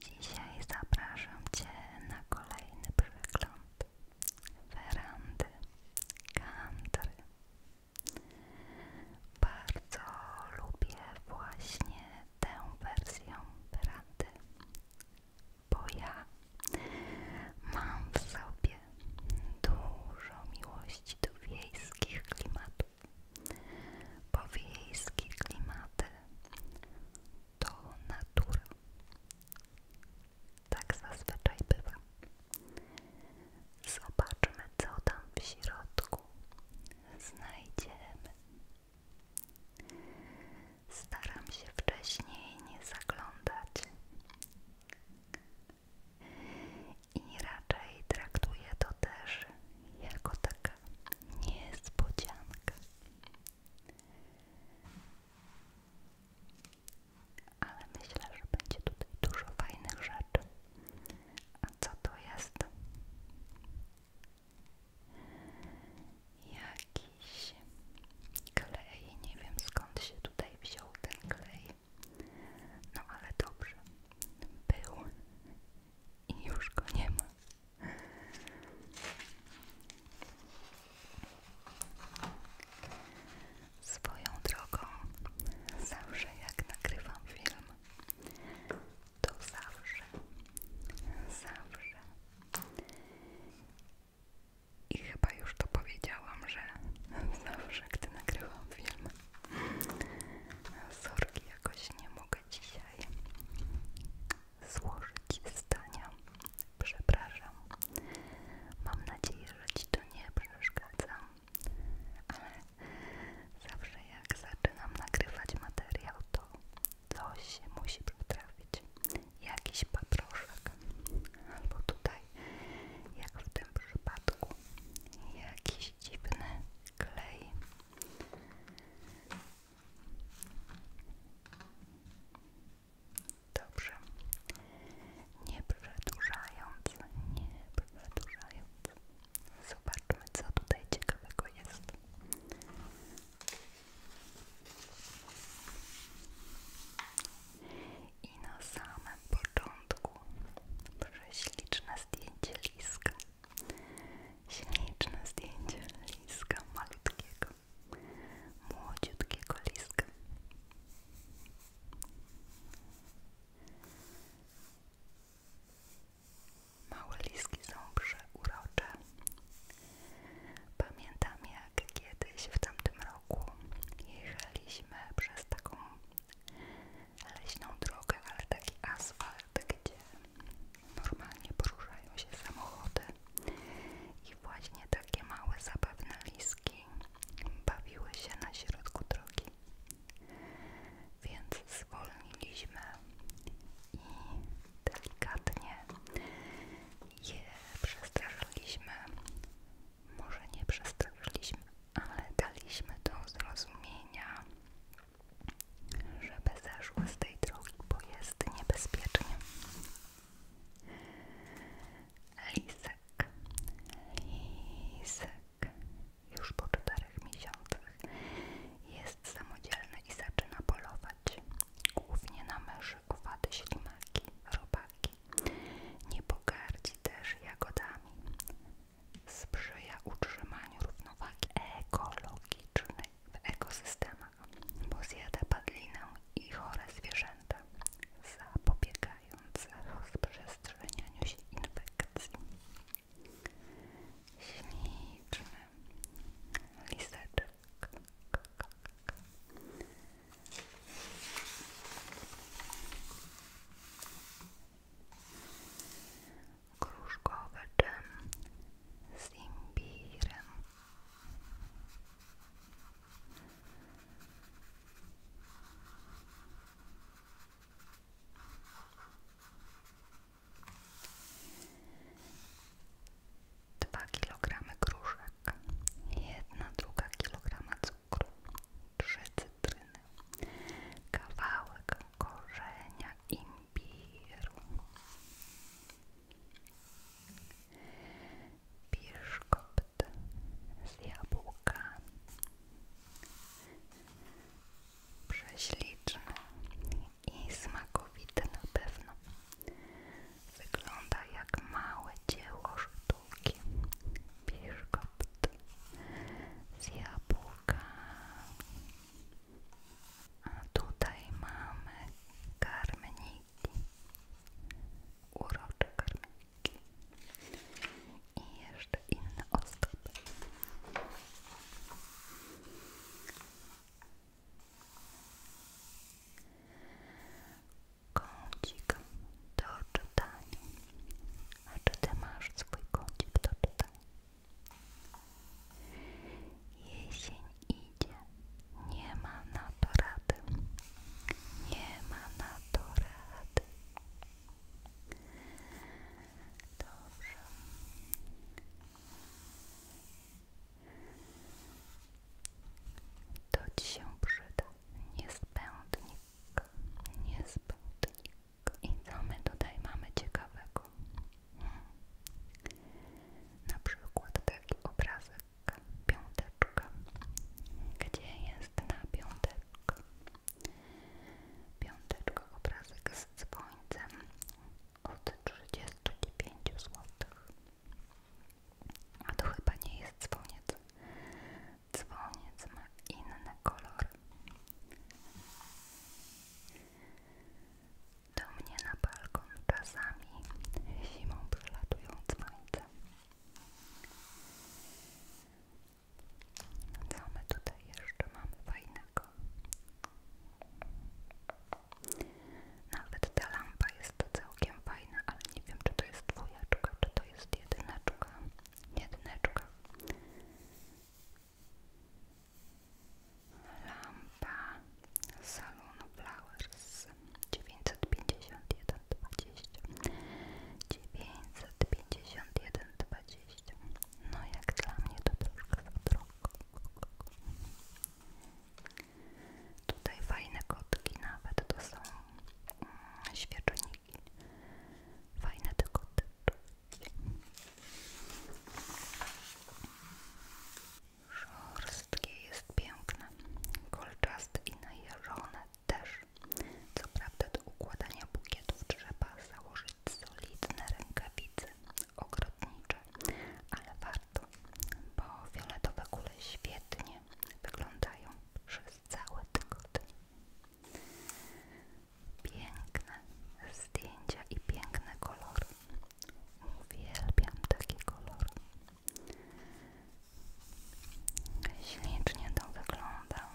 Dzisiaj zapraszam Cię na kolejny przegląd werandy country. Bardzo lubię właśnie tę wersję werandy, bo ja mam w sobie dużo miłości do wiejskich klimatów bo wiejskie klimaty to natura. Tak zazwyczaj bywa. Zobaczmy, co tam w środku znajdziemy. Staram się wcześniej nie zaglądać i raczej traktuję to też jako taki Niespodzianka, niespodzianka. Ale myślę, że będzie tutaj dużo fajnych rzeczy. A co to jest? Jakiś klej. Nie wiem skąd się tutaj wziął ten klej. No ale dobrze. Był i już go nie ma. Swoją drogą, zawsze jak nagrywam film, to zawsze, zawsze i chyba już to powiedziałam, że zawsze gdy nagrywam film, sorki jakoś nie mogę dzisiaj złożyć zdania. Przepraszam. Mam nadzieję, że Ci to nie przeszkadza, ale zawsze jak zaczynam nagrywać materiał, to coś się musi potrafić. Jakiś paproszek, albo tutaj, jak w tym przypadku, jakiś dziwny klej. Dobrze. Nie przedłużając, nie przedłużając. Zobaczmy, co tutaj ciekawego jest. I na samym początku prześliczne zdjęcie liska. Śliczne zdjęcie liska malutkiego, młodziutkiego liska. Małe liski są przeurocze. Pamiętam jak kiedyś w tamtym roku jechaliśmy przez taką leśną drogę, ale taki asfalt, gdzie normalnie poruszają się samochody i właśnie takie małe zabawne liski bawiły się na środku drogi. Więc zwolniliśmy i delikatnie je przestraszyliśmy. Może nie przestraszyliśmy, ale daliśmy do zrozumienia, żeby zeszły z tej drogi, bo jest niebezpiecznie. Lisek, lisek już po czterech miesiącach jest samodzielny i zaczyna polować, głównie na myszy, kowady, ślimaki, robaki. Nie pogardzi też jagodami. Sprzyja utrzymaniu równowagi ekologicznej ekologiczny w ekosystemach, bo zjada padlinę i chore zwierzęta, zapobiegając rozprzestrzenianiu się infekcji. Śliczny liseczek. Gruszkowy dżem z Dwa kilogramy gruszek, jedna druga kilograma cukru, trzy cytryny, kawałek korzenia imbiru papieru. Biszkopt z jabłka. Prześliczny i smakowity na pewno. Wygląda jak małe dzieło sztuki. Biszkopt z jabłka. A tutaj mamy karmeniki, urocze karmeniki i jeszcze inne ozdoby. Kącik do czytania. A czy ty masz swój kącik do czytania? Jesień idzie, nie ma na to rady, nie ma na to rady. Dobrze. To ci się przyda. Niezbędnik. Niezbędnik. I co my tutaj mamy ciekawego? Hmm. Na przykład taki obrazek piąteczka. Gdzie jest na piąteczka? Piąteczka obrazek z dzwońcem od 35 zł. A to chyba nie jest dzwoniec. Dzwoniec ma inny kolor. Do mnie na balkon czasami zimą z dzwonice. Co my tutaj jeszcze mamy fajnego? Nawet ta lampa jest całkiem fajna, ale nie wiem czy to jest dwójeczka, czy to jest jedyneczka. Jedyneczka. Lampa salonu Flowers 951 20 951,20 No jak dla mnie to troszkę za drogo Tutaj fajne kotki nawet, to są mm, świeczniki Fajne te koteczki Szorstkie jest piękne, kolczaste i najeżone też. Co prawda do układania bukietów trzeba założyć solidne rękawice ogrodnicze, ale warto, bo fioletowe kule świetnie wyglądają przez cały tygodnie. Piękne zdjęcia i piękne kolory. Uwielbiam taki kolor. Ślicznie to wygląda. wygląda.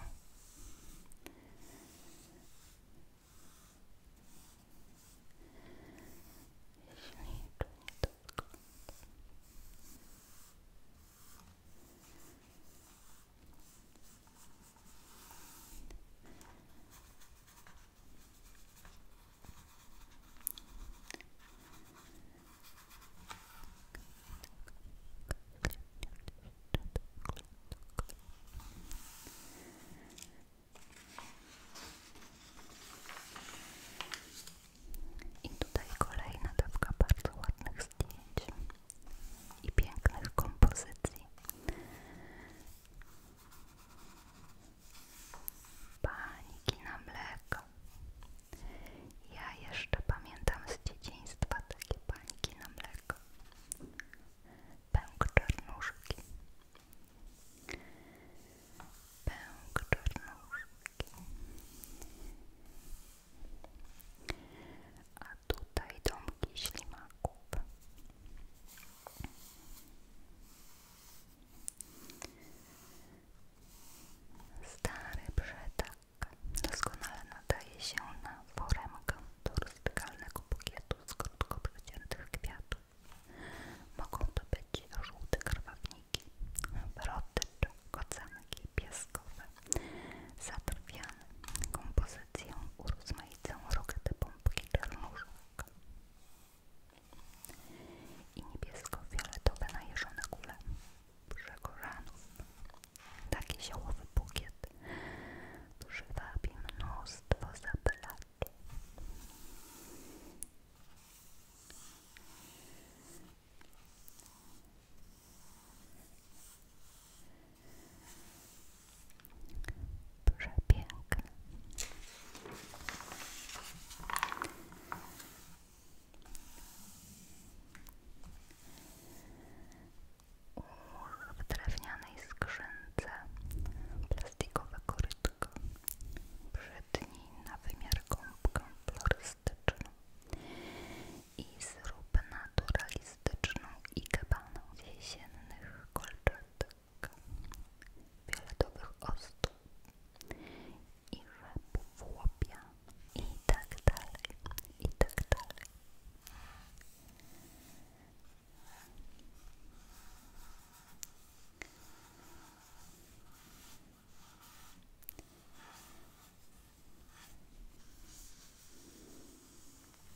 I tutaj kolejna dawka bardzo ładnych zdjęć i pięknych kompozycji. Paniki na mleko. Ja jeszcze pamiętam z dzieciństwa takie paniki na mleko. Pęk czarnuszki tutaj domki ślimaków. Stary brzeg doskonale nadaje się na foremkę do rozdygalnego bukietu z krótko kwiatów. Mogą to być żółte krwawniki, brotycz, kocanki pieskowe, zatrwiane Kompozycję urozmaicą rokety pompki czarnuszek i niebiesko-fioletowe najeżone kule przekorzanów. Taki ziołowy bukiet przywabi mnóstwo zapylaczy. Przepiękne. W drewnianej skrzynce plastikowe korytko przytnij na wymiar gąbkę florystyczną i zrób naturalizację minimalistyczną i kebaną z jesiennych kolczatek, fioletowych ostów i rzepów łopia i tak dalej, i tak dalej.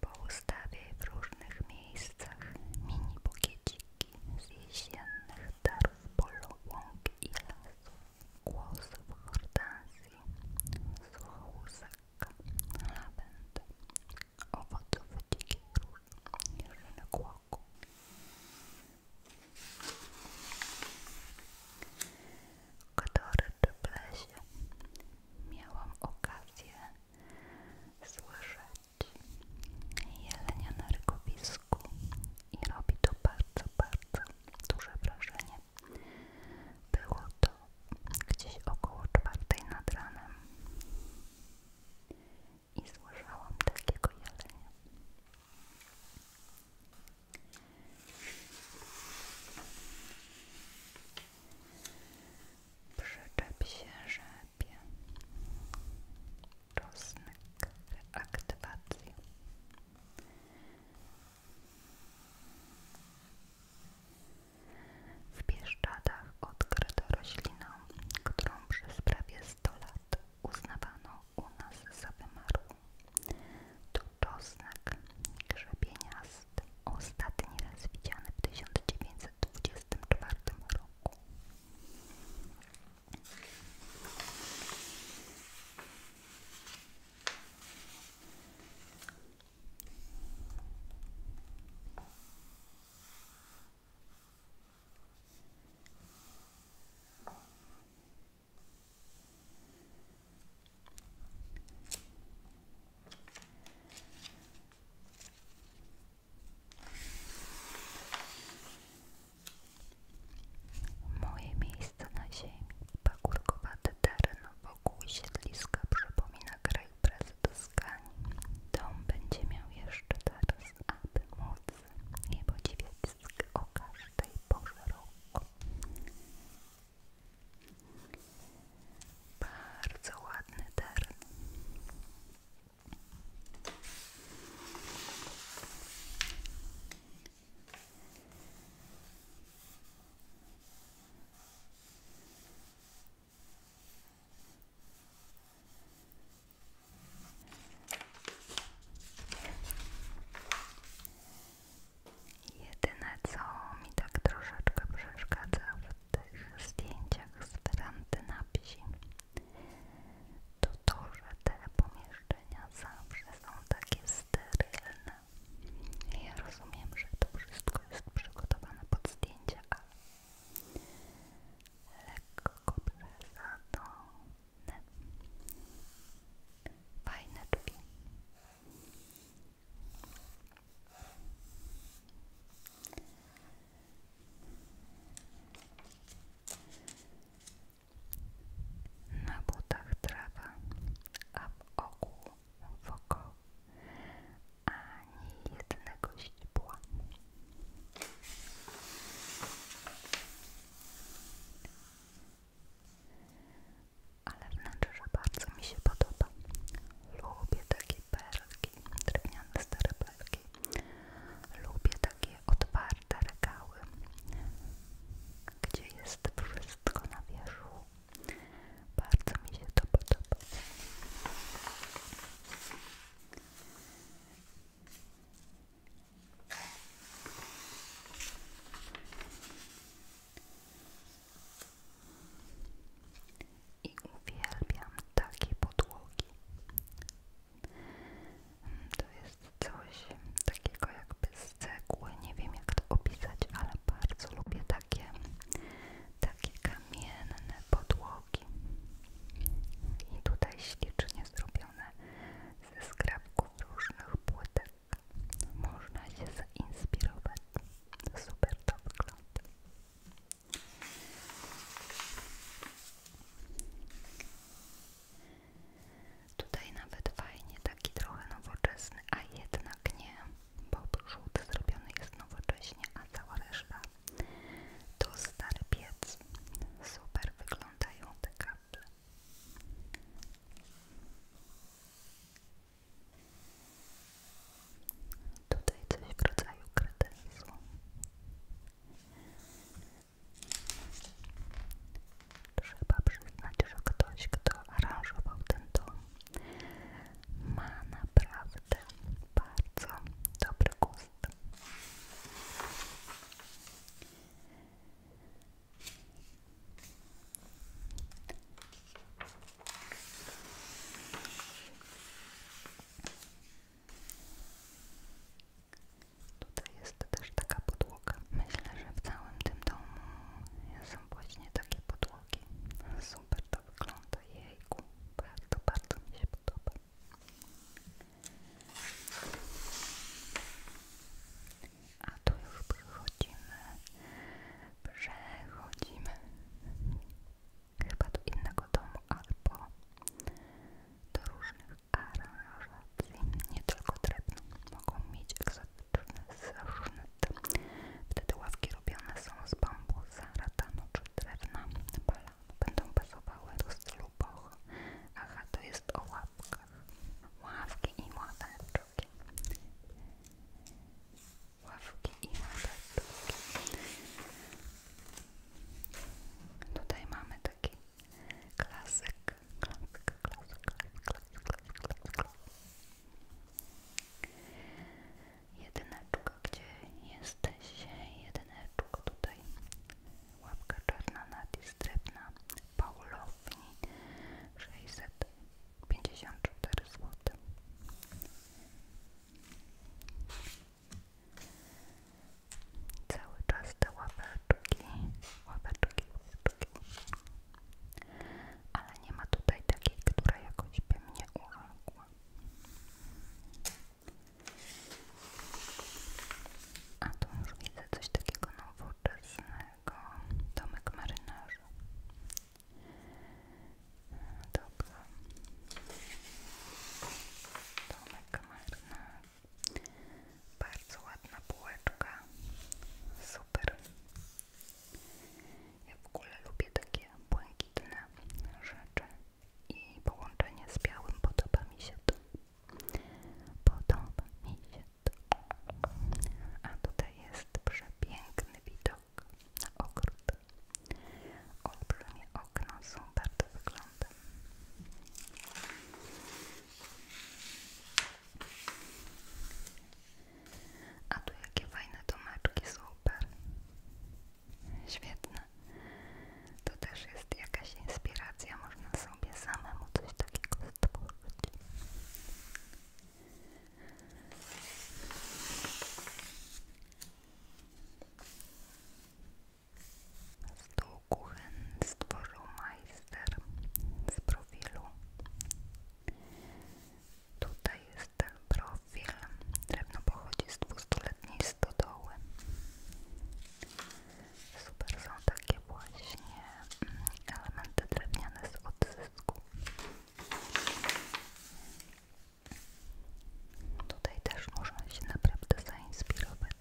po ustawie w różnych miejscach mini bukieciki z jesiennych darów polu, i lasów, głosów hortensji, suchołusek, lawendy, owoców dzikich róż, jeżynek który w lesie miałam okazję słyszeć jelenia na rykowisku i robi to bardzo, bardzo duże wrażenie. Było to gdzieś około czwartej nad ranem i złożyłam takiego jelenia. Przyczep się rzepie, reaktywacji. W Bieszczadach odkryto roślinę, którą przez prawie sto lat uznawano u nas za wymarłą. To czosnek grzebieniasty, ostatni raz widziany w 1924 roku. Moje miejsce na ziemi, pagórkowaty teren wokół siedliska przypomina kraj prezydyskani. Dom będzie miał jeszcze teraz, aby móc niebodziewiec o każdej porze roku. Bardzo ładny teren. Jedyne co mi tak troszeczkę przeszkadza w tych zdjęciach z werandy na wsi, to to, że te pomieszczenia zawsze są takie sterylne. Ja rozumiem, że to wszystko jest przygotowane pod zdjęcia, ale lekko przez to Fajne Na butach trawa, a w oku woko ani jednego ale wnętrze bardzo mi się podoba. Lubię takie perlki, drewniane stare perlki. Lubię takie otwarte regały, gdzie jest wszystko na wierzchu. Bardzo mi się to podoba. I uwielbiam takie podłogi. To jest coś takiego jakby z cegły, nie wiem jak to opisać, ale bardzo lubię takie, takie kamienne podłogi. I tutaj ślicznie zrobione ze skrapków różnych płytek. Można się zainspirować. Super to wygląda. Tutaj nawet fajnie, taki trochę nowoczesny, a jednak nie, bo przód zrobiony jest nowocześnie, a cała reszta to stary piec. Super wyglądają te kaple. Tutaj coś w rodzaju kredensu. Trzeba przyznać, że ktoś, kto aranżował ten dom, ma naprawdę bardzo dobry gust to jest też taka podłoga. Myślę, że w całym tym domu są właśnie takie podłogi. Super to wygląda. Jejku, bardzo, bardzo mi się podoba. A tu już przechodzimy, przechodzimy chyba do innego domu albo do różnych aranżacji. Nie tylko drewno, mogą mieć egzotyczne różne Wtedy ławki robione są z bambusa, ratanu czy drewna, będą pasowały do stylu boho. Aha, to jest o łapkach. Ławki i ławeczki. Ławki i ławeczki. Tutaj mamy taki klasyk, klasyk, klasyk, klasyk, klasyk, klasyk, klasyk. Jedyneczko, gdzie jesteś? Jedyneczko tutaj łapka czarna na drewna Paulowni 654 zł. Cały czas te łapeczki, łapeczki, łapeczki. Ale nie ma tutaj takiej, która jakoś by mnie urągła. A tu już widzę coś takiego nowoczesnego. Domek marynarzy. Dobra. Domek marynarz. Bardzo ładna bułeczka. Super. Ja w ogóle lubię takie błękitne rzeczy i połączenie z białym podoba mi się to. Podoba mi się to. A tutaj jest przepiękny widok na ogród. Olbrzymie okno, super to wygląda. A tu jakie fajne są super. Świetne. To też jest jakaś inspiracja, można sobie samemu coś takiego stworzyć. Stół kuchen stworzył majster z profilu. Tutaj jest ten profil. Drewno pochodzi z dwustuletniej stodoły. Super są takie właśnie mm, elementy drewniane z odzysku. Tutaj też można się naprawdę zainspirować.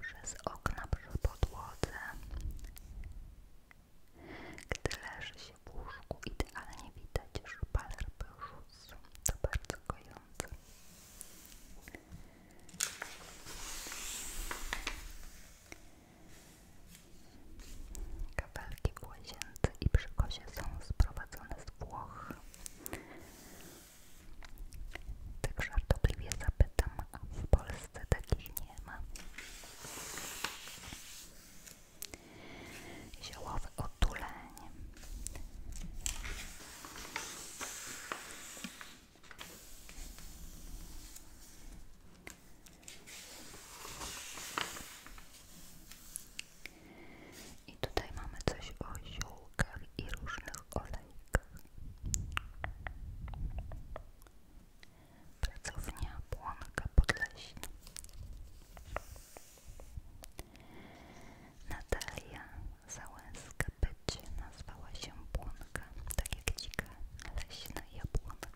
Przez okna, przez podłodze, gdy leży się je w łóżku idealnie widać szpaler był rósł, to bardzo gojące Kafelki w i przy są sprowadzone z Włoch. Tak żartobliwie zapytam, a w Polsce takich nie ma ziołowy otuleń. I tutaj mamy coś o ziółkach i różnych olejkach. Pracownia Błonka Podleśna. Natalia Załęska-Pyć nazwała się Błonka, tak jak dzika leśna jabłonka.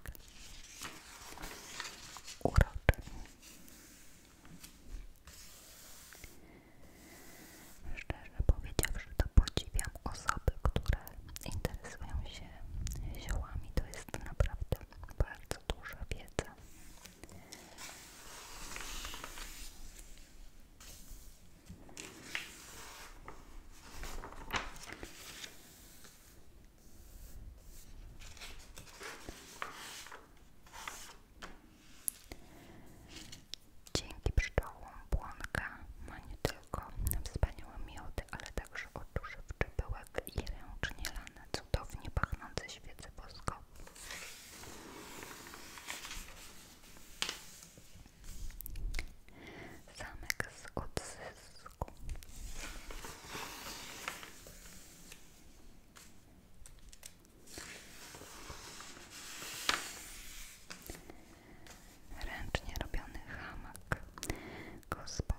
Uroczy. Szczerze że to podziwiam osoby, które interesują się ziołami. To jest naprawdę bardzo duża wiedza Dobra. Dzięki pszczołom błonka ma nie tylko wspaniałe miody, ale także oduszewczy pyłek i nie lane cudownie pachnące świece woskowe. Zamek z odzysku. Ręcznie robiony hamak. Gospa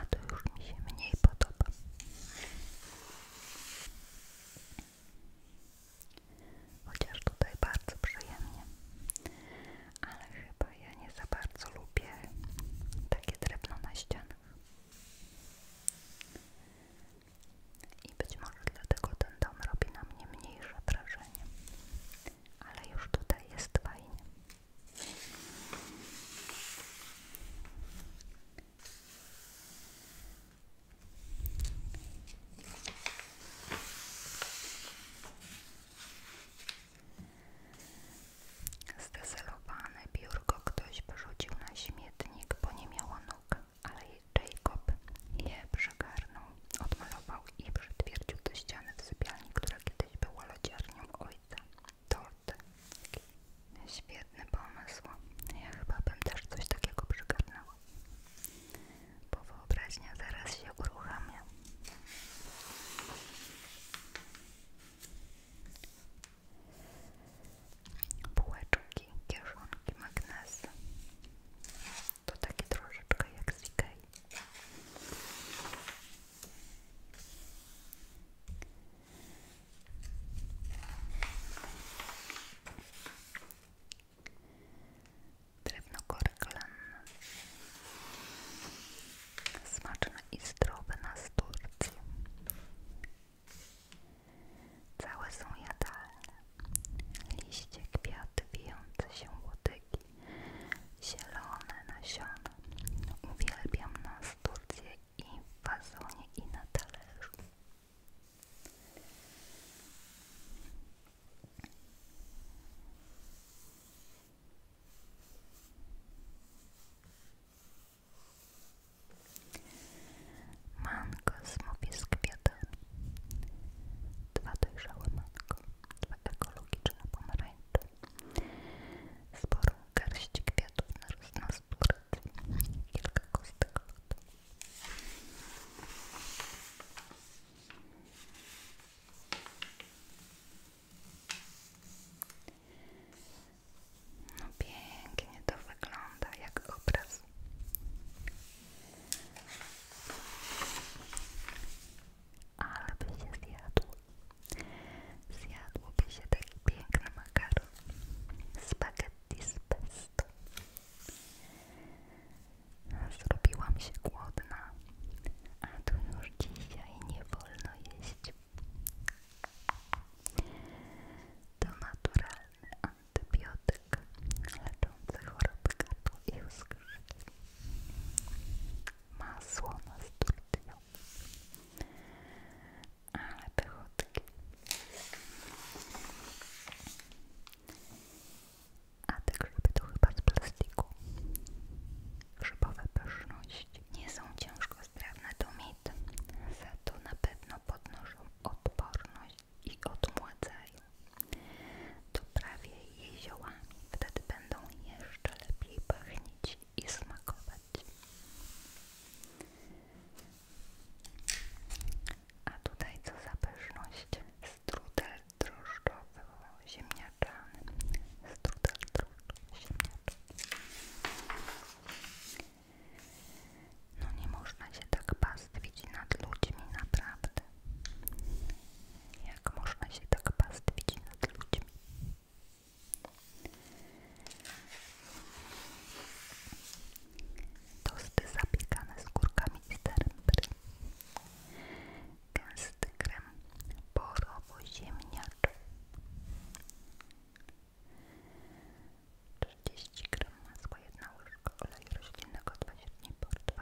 A to już mi się mniej podoba. Chociaż tutaj bardzo przyjemnie. Ale chyba ja nie za bardzo lubię takie drewno na ścianach. I być może dlatego ten dom robi na mnie mniejsze wrażenie ale już tutaj jest fajnie. Zdezelowane biurko ktoś wyrzucił na śmietnik, bo nie miało nóg, ale Jacob je przegarnął odmalował i przytwierdził do ściany w sypialni, która kiedyś była lodziarnią ojca. Torty. Świetny pomysł. Ja chyba bym też coś takiego przygarnęła. Bo wyobraźnia zaraz się uruchamia. Bułeczki, kieszonki, magnesy. To taki troszeczkę jak z Ikei. Drewno korklen. Smaczne i zdrowe na z Turcji. Całe są jadalne liście, kwiaty, wijące się łodygi, zielone nasiona. Uwielbiam nasturcje i w wazonie i na talerzu. Mango z kwiatami. Dwa dojrzałe mango ekologiczne pomarańcze, sporą garść kwiatów na rosnastórce, kilka kostek No pięknie to wygląda, jak obraz. Ale by się zjadło. Zjadłoby się tak piękny makaron. Spaghetti z pesto. Zrobiłam się głodna, a tu już dzisiaj nie wolno jeść. To naturalny antybiotyk środek leczący choroby gardła i uskrzyt. Masło na sturdią. Ale te A te grzyby to chyba z plastiku. Grzybowe pyszności nie są ciężko strawne do mit, za to na pewno podnoszą odporność i odmładzają. Doprawię prawie ziołami, wtedy będą jeszcze lepiej pachnieć i smakować. A tutaj co za Strudel drożdżowo-ziemniaczany. Strudel drożdżowo-ziemniaczany. No nie można się tak pastwić nad ludźmi, naprawdę. Jak można się tak pastwić nad ludźmi? Tosty zapiekane z kurkami i sterbry. Gęsty krem borowo-ziemniacz. 30 gram masła, jedna łyżka oleju roślinnego, dwa średnie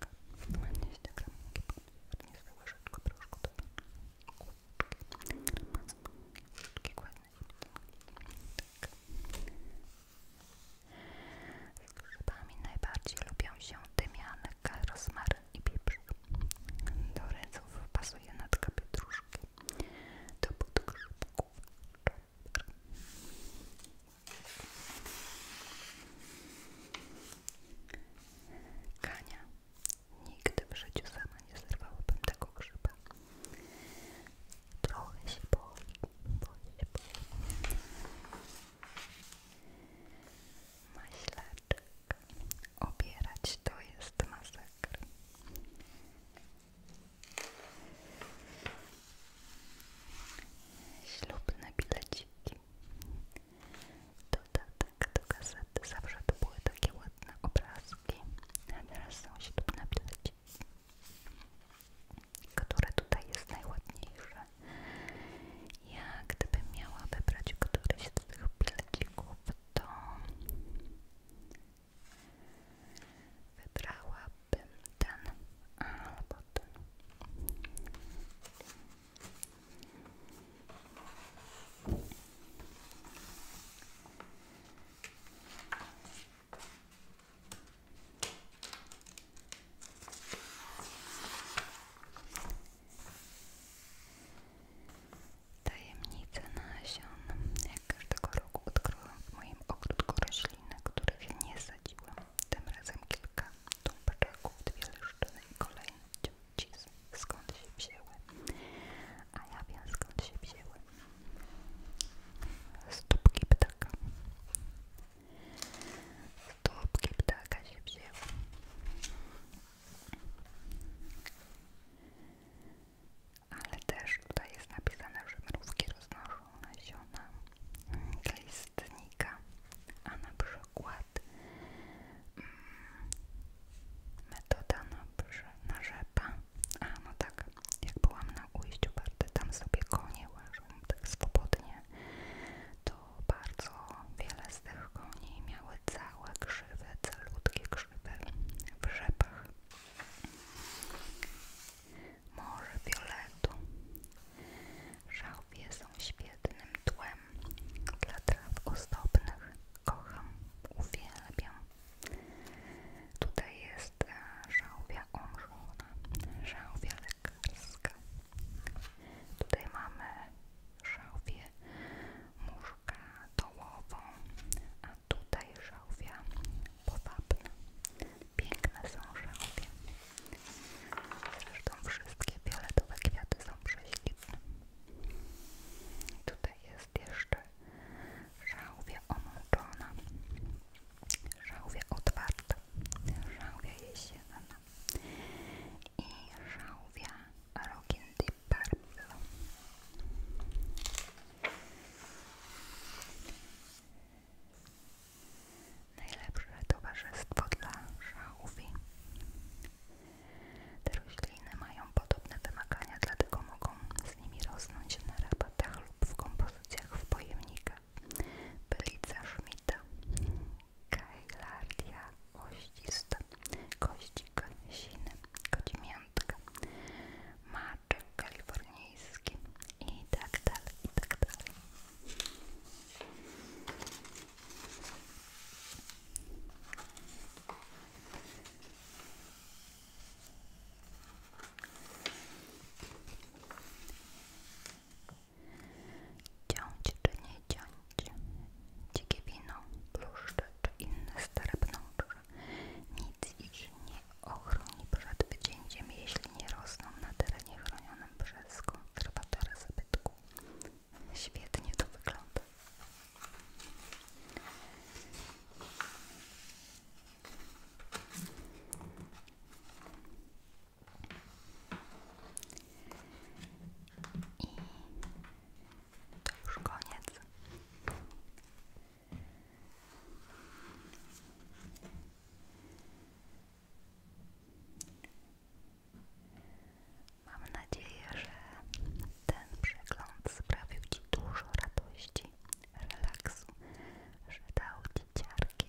tak ładnie ściągamy ładnie z łyżeczką proszku do kółeczki ładne tak z grzybami najbardziej lubią się tymianek, rozmaryn i pieprz do ryców pasuje natka pietruszki do podgrzybków czopr Kania, nigdy w życiu sama nie zerwałabym tego grzyba. Trochę się boi, boi się boi. Maślaczek, obierać to jest masakr. Ślubne bileciki. Dodatek do gazety zawsze to były takie ładne obrazki, a teraz są ślubne ptaki. Które tutaj jest najładniejsze? Ja gdybym miała wybrać któryś z tych pilcików, to wybrałabym ten albo ten. Tajemnice nasion. Jak każdego roku odkryłam w moim ogródku rośliny, których nie sadziłam. Tym razem kilka Tum paczaków, dwie leszczyny i kolejny ciucis. Skąd się wzięły? A ja wiem skąd się wzięły. Stópki ptaka. Stópki ptaka się wzięły. Ale też tutaj jest napisane, że mrówki roznoszą nasiona glistnika, a na przykład mm, metoda na, na rzepa. A no tak, jak byłam na ujściu Barty, tam sobie konie łażą tak swobodnie, to bardzo wiele z tych koni miały całe krzywe, calutkie krzywe w rzepach. Morze Violetu Żałwie są świetnym tłem dla traw ozdobnych. Kocham, uwielbiam. Tutaj jest e, żałwia omrzona, żałwia lekarska. Tutaj mamy żałwię muszka dołową, a tutaj żałwia powabna. Piękne są żałwie. Zresztą wszystkie fioletowe kwiaty są prześliczne. Tutaj jest jeszcze żałwia omączona, żałwia otwarta, żałwia jesienna i żałwia rogindy purple. Najlepsze towarzystwo dla szałwi. Te rośliny mają podobne wymagania, dlatego mogą z nimi rosnąć na rabatach lub w kompozycjach w pojemnikach. Bylica Schmidta, Kailardia oścista, kościk siny, kodzimiętka, maczek kalifornijski i tak dalej, i tak dalej. Ciąć czy nie ciąć, dzikie wino, bluszcze czy inne stare pnącze, nic ich nie ochroni przed wycięciem, jeśli nie rosną na terenie chronionym przez konserwatora zabytku zabytku. Świetnie to wygląda. I to już koniec. Mam nadzieję, że ten przegląd sprawił Ci dużo radości, relaksu, że dał Ci ciarki,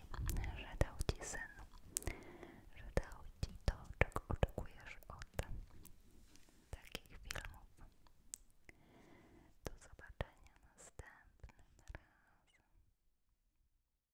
że dał Ci sen, że dał Ci to, czego oczekujesz od takich filmów. Do zobaczenia następnym razem.